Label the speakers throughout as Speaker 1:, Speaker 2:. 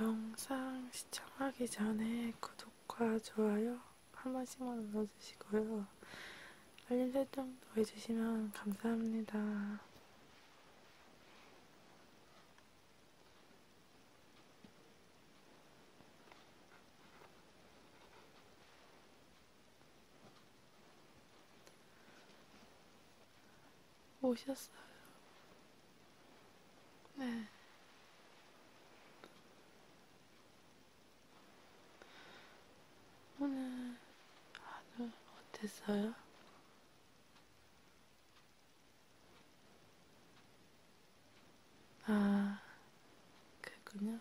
Speaker 1: 영상 시청하기 전에 구독과 좋아요 한 번씩만 눌러주시고요. 알림 설정도 해주시면 감사합니다. 오셨어요. 네. 오늘 하루 어땠어요? 아, 그랬군요.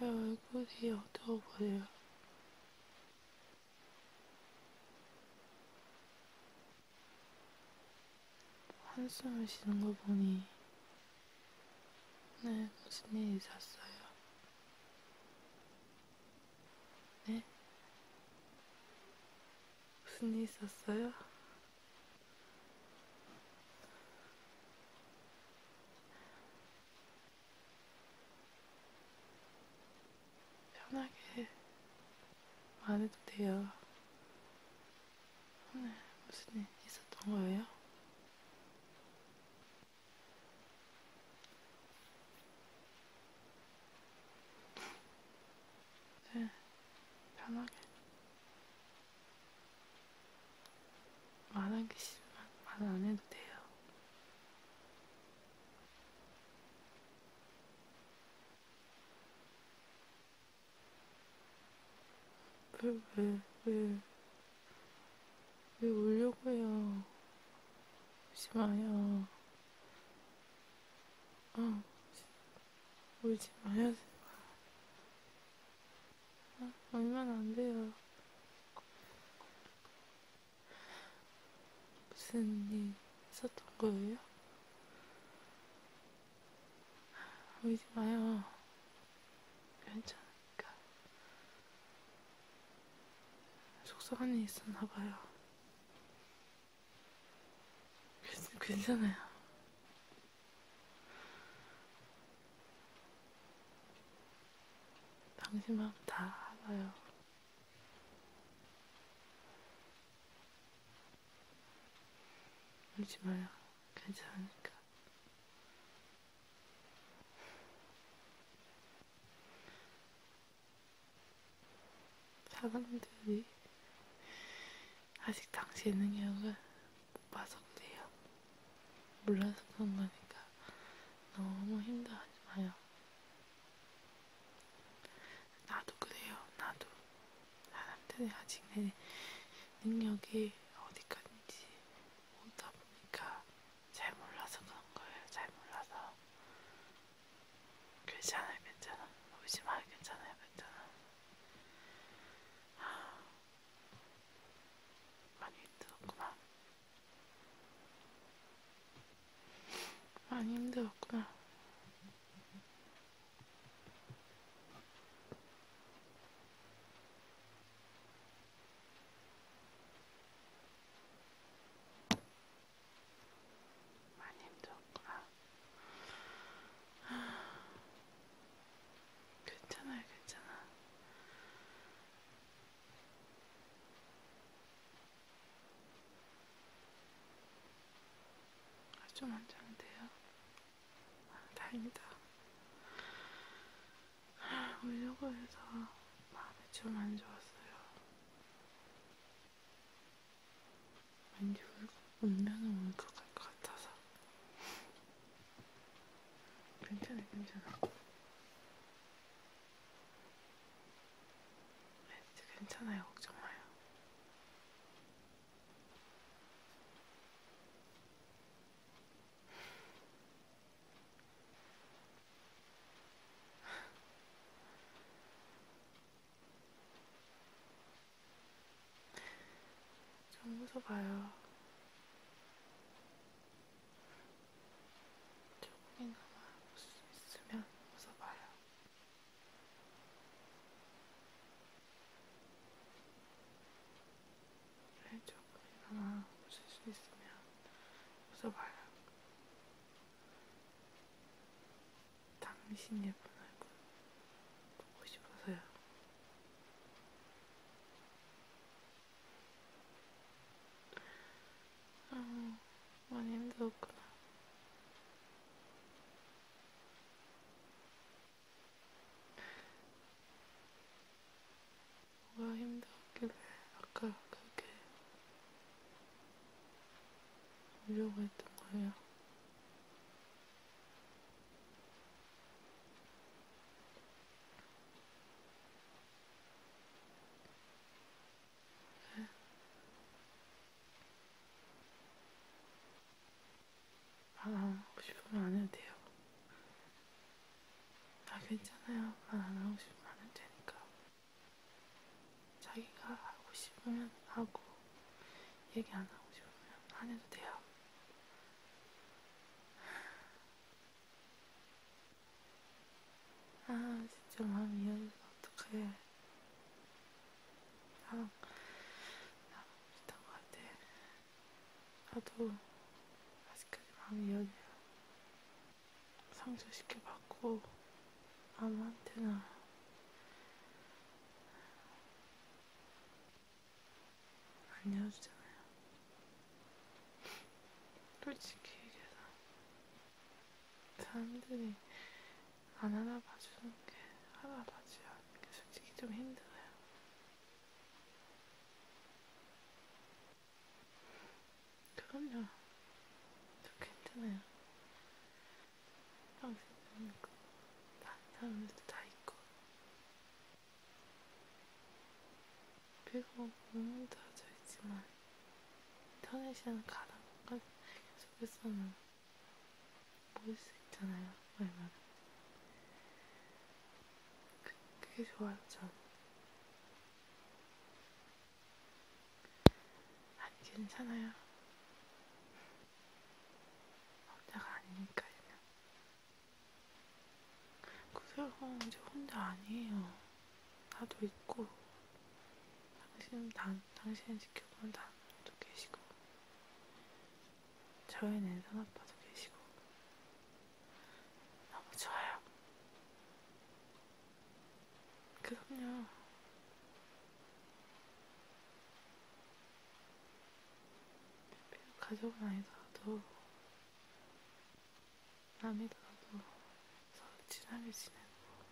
Speaker 1: 왜 얼굴이 어두워 보여요? 한숨을 쉬는 거 보니 네, 무슨 일이 있었어요? 네? 무슨 일 있었어요? 편하게 말해도 돼요. 오늘 무슨 일 있었던 거예요? 네, 편하게. 말하기 싫으면 말 안 해도 돼요. 왜, 왜, 왜, 왜 울려고 해요? 오지 마요. 어, 울지 마요, 제발. 아, 울면 안 돼요. 무슨 일 있었던 거예요? 울지 마요. 괜찮으니까. 속상한 일 있었나 봐요. 괜찮아요. 당신 마음 다 알아요. 울지 마요. 괜찮으니까. 사람들이 아직 당시의 능력을 못 봐서 그래요. 몰라서 그런 거니까 너무 힘들어하지 마요. 나도 그래요. 나도 사람들이 아직 내 능력이 어디까지인지 모르다 보니까 잘 몰라서 그런 거예요. 잘 몰라서 괜찮아요, 괜찮아. 울지 마, 괜찮아요, 괜찮아. 아, 많이 힘들었구나. 많이 힘들었구나. 많이 힘들었구나. 괜찮아요, 괜찮아. 아, 좀 앉아도 돼요? 아, 다행이다. 오려고 아, 해서 마음이 좀 안 좋았어요. 왠지 운명은 울컥할 것 같아서 괜찮아 괜찮아 렌즈 네, 괜찮아요 걱정마요 좀 웃어봐요. 조금이나마 웃을 수 있으면 웃어봐요. 네, 조금이나마 웃을 수 있으면 웃어봐요. 당신 예쁜 얼굴 보고 싶어서요. 아, 많이 힘들었구나. 뭐가 힘들었길래 아까 그렇게 보려고 했던 거예요. 네. 말안 아, 하고 싶으면 안 해도 돼요. 아 괜찮아요. 말안 하고 싶으면 안 해도 되니까. 자기가 하고 싶으면 하고, 얘기 안 하고 싶으면 안 해도 돼요. 아, 진짜 마음이 이어져서 어떡해. 나랑, 나랑 비슷한 것 같아. 나도 아직까지 마음이 이어져요. 상주시켜봤고 아무한테나 알려주잖아요. 솔직히 얘기해서 사람들이 안 알아봐주는 게 알아봐줘야 하는 게 솔직히 좀 힘들어요. 그럼요. 저 괜찮아요. 당신은 그, 다른 사람들도 다 있고. 그리고 몸은 다져 있지만, 인터넷이랑 가랑까지 계속해서는 보일 수 있잖아요, 얼마나. 그, 그게 좋아요, 전. 아, 괜찮아요. 혼자가 아니니까요. 그래요, 저 혼자 아니에요. 나도 있고, 당신은 단, 당신을 지켜보는 단도 계시고, 저의 낸산 아빠도 계시고, 너무 좋아요. 그럼요. 가족은 아니더라도 남이더라도 서로 친하게 지내고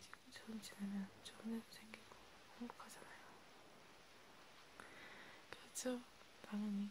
Speaker 1: 친구처럼 지내면 좋은 일도 생기고 행복하잖아요. 그렇죠? 당연히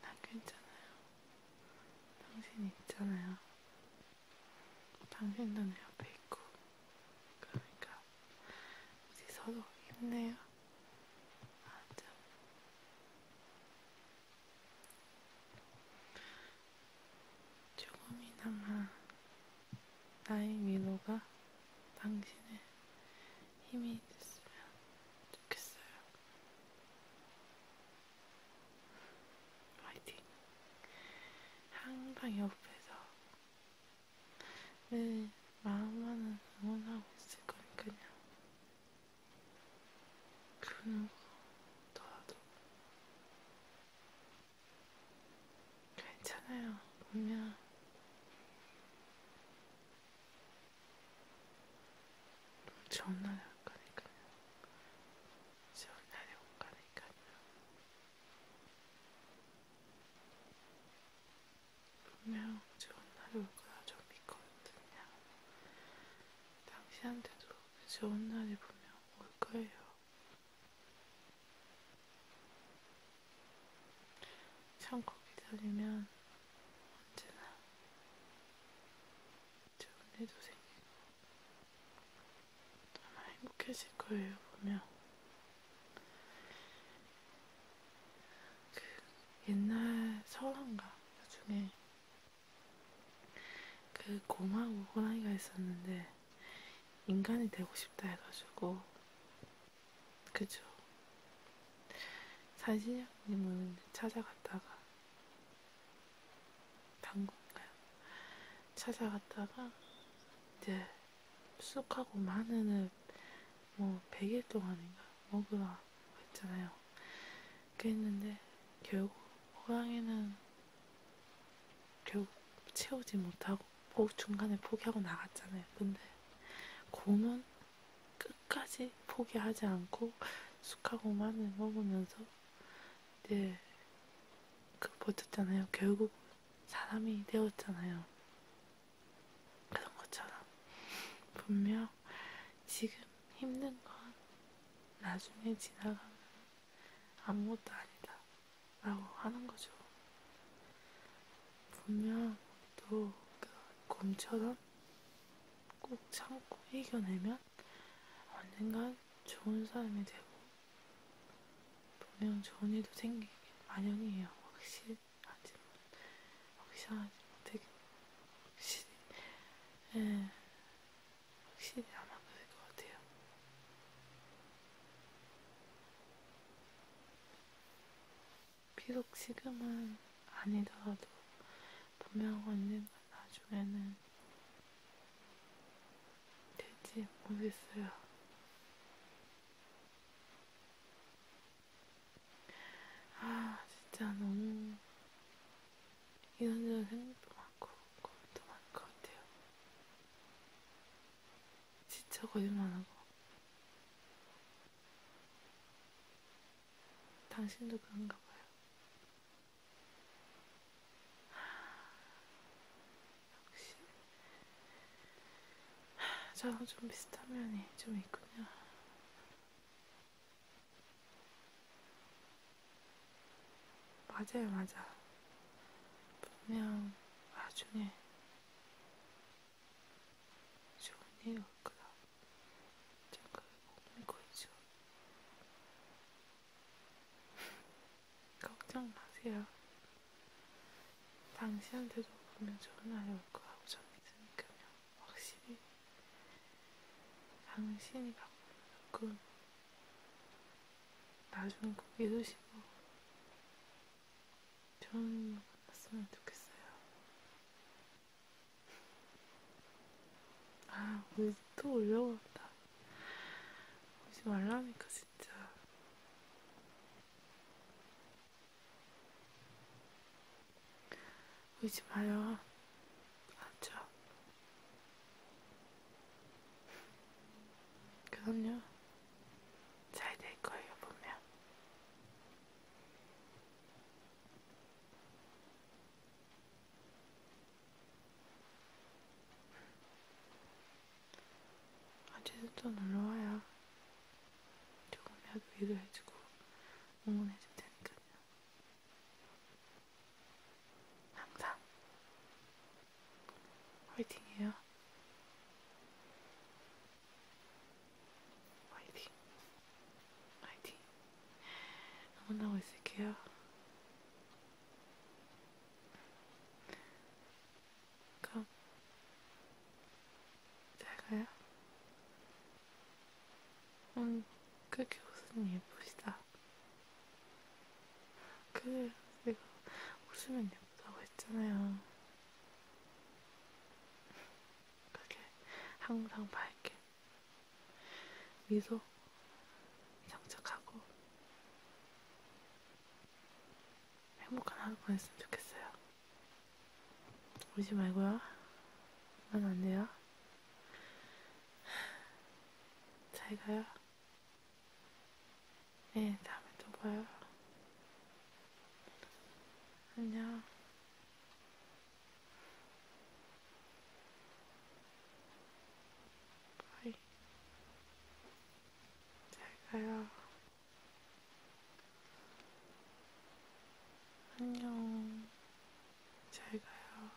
Speaker 1: 나 괜찮아요. 당신 있잖아요. 당신도 내 옆에 있고. 그러니까 우리 서로 힘내요. 맞아. 조금이나마 나의 미로가 당신의 힘이 됐으면 좋겠어요. 화이팅! 항상 옆에서 늘 마음만은 응원하고 있을 거니까요. 그 누구더라도 괜찮아요. 분명 전화를 안 가니까요. 전화를 못 가니까요. 분명 전화를 올 거라 좀 믿거든요. 당신한테도 좋은 날이 분명 올 거예요. 참고 기다리면 언제나 좋은 일도 생기고 아마 행복해질 거예요 보면 그 옛날 설왕가 중에 그 고마 오고라이가 있었는데 인간이 되고 싶다 해가지고 그죠? 사진형님은 찾아갔다가 방건가요? 찾아갔다가 이제 쑥하고 마늘을 뭐 100일 동안인가 먹으라 했잖아요. 그랬는데 결국 호랑이는 결국 채우지 못하고 중간에 포기하고 나갔잖아요. 근데 곰은 끝까지 포기하지 않고 숙하고만을 먹으면서 이제 그 버텼잖아요. 결국 사람이 되었잖아요. 그런 것처럼 분명 지금 힘든 건 나중에 지나가면 아무것도 아니다 라고 하는 거죠. 보면 또 검처럼 그 꼭 참고 이겨내면 언젠간 좋은 사람이 되고 분명 좋은 일도 생기길 마련이에요. 확실하지만 확실하지만 되게 확실히 예, 확실히 아마 그럴 것 같아요. 비록 지금은 아니더라도 분명 언젠가 나중에는 될지 모르겠어요. 아, 진짜 너무 이런저런 생각도 많고 고민도 많을 것 같아요. 진짜 거짓말하고 당신도 그런가 봐요. 역시. 저랑 좀 비슷한 면이 좀 있군요. 맞아요, 맞아. 분명 나중에 좋네요, 그럼. 잠깐 먹는 거죠. 걱정 마세요. 당신한테도 보면 좋은 날이 올 거라고 저는 믿으니까요. 확실히 당신이 갖고 있는 꿈 나중에 꼭 이루시고 저는 만났으면 좋겠어요. 아, 오늘 또 올려왔다. 오지 말라니까, 진짜. 오지 마요. 알았죠? 그럼요. 잘될 거예요, 보면. 언제든 또 놀러와요. 조금이라도 위로해주고 응원해줄 테니까요. 항상 화이팅해요. 화이팅! 화이팅! 응원하고 있을게요. 그럼 잘 가요. 음, 그렇게 웃으니 예쁘시다. 그래, 내가 웃으면 예쁘다고 했잖아요. 그게 항상 밝게 미소 장착하고 행복한 하루 보냈으면 좋겠어요. 울지 말고요. 난안 돼요. 잘 가요. 네, 다음에 또 봐요. 안녕. 바이. 잘 가요. 안녕. 잘 가요.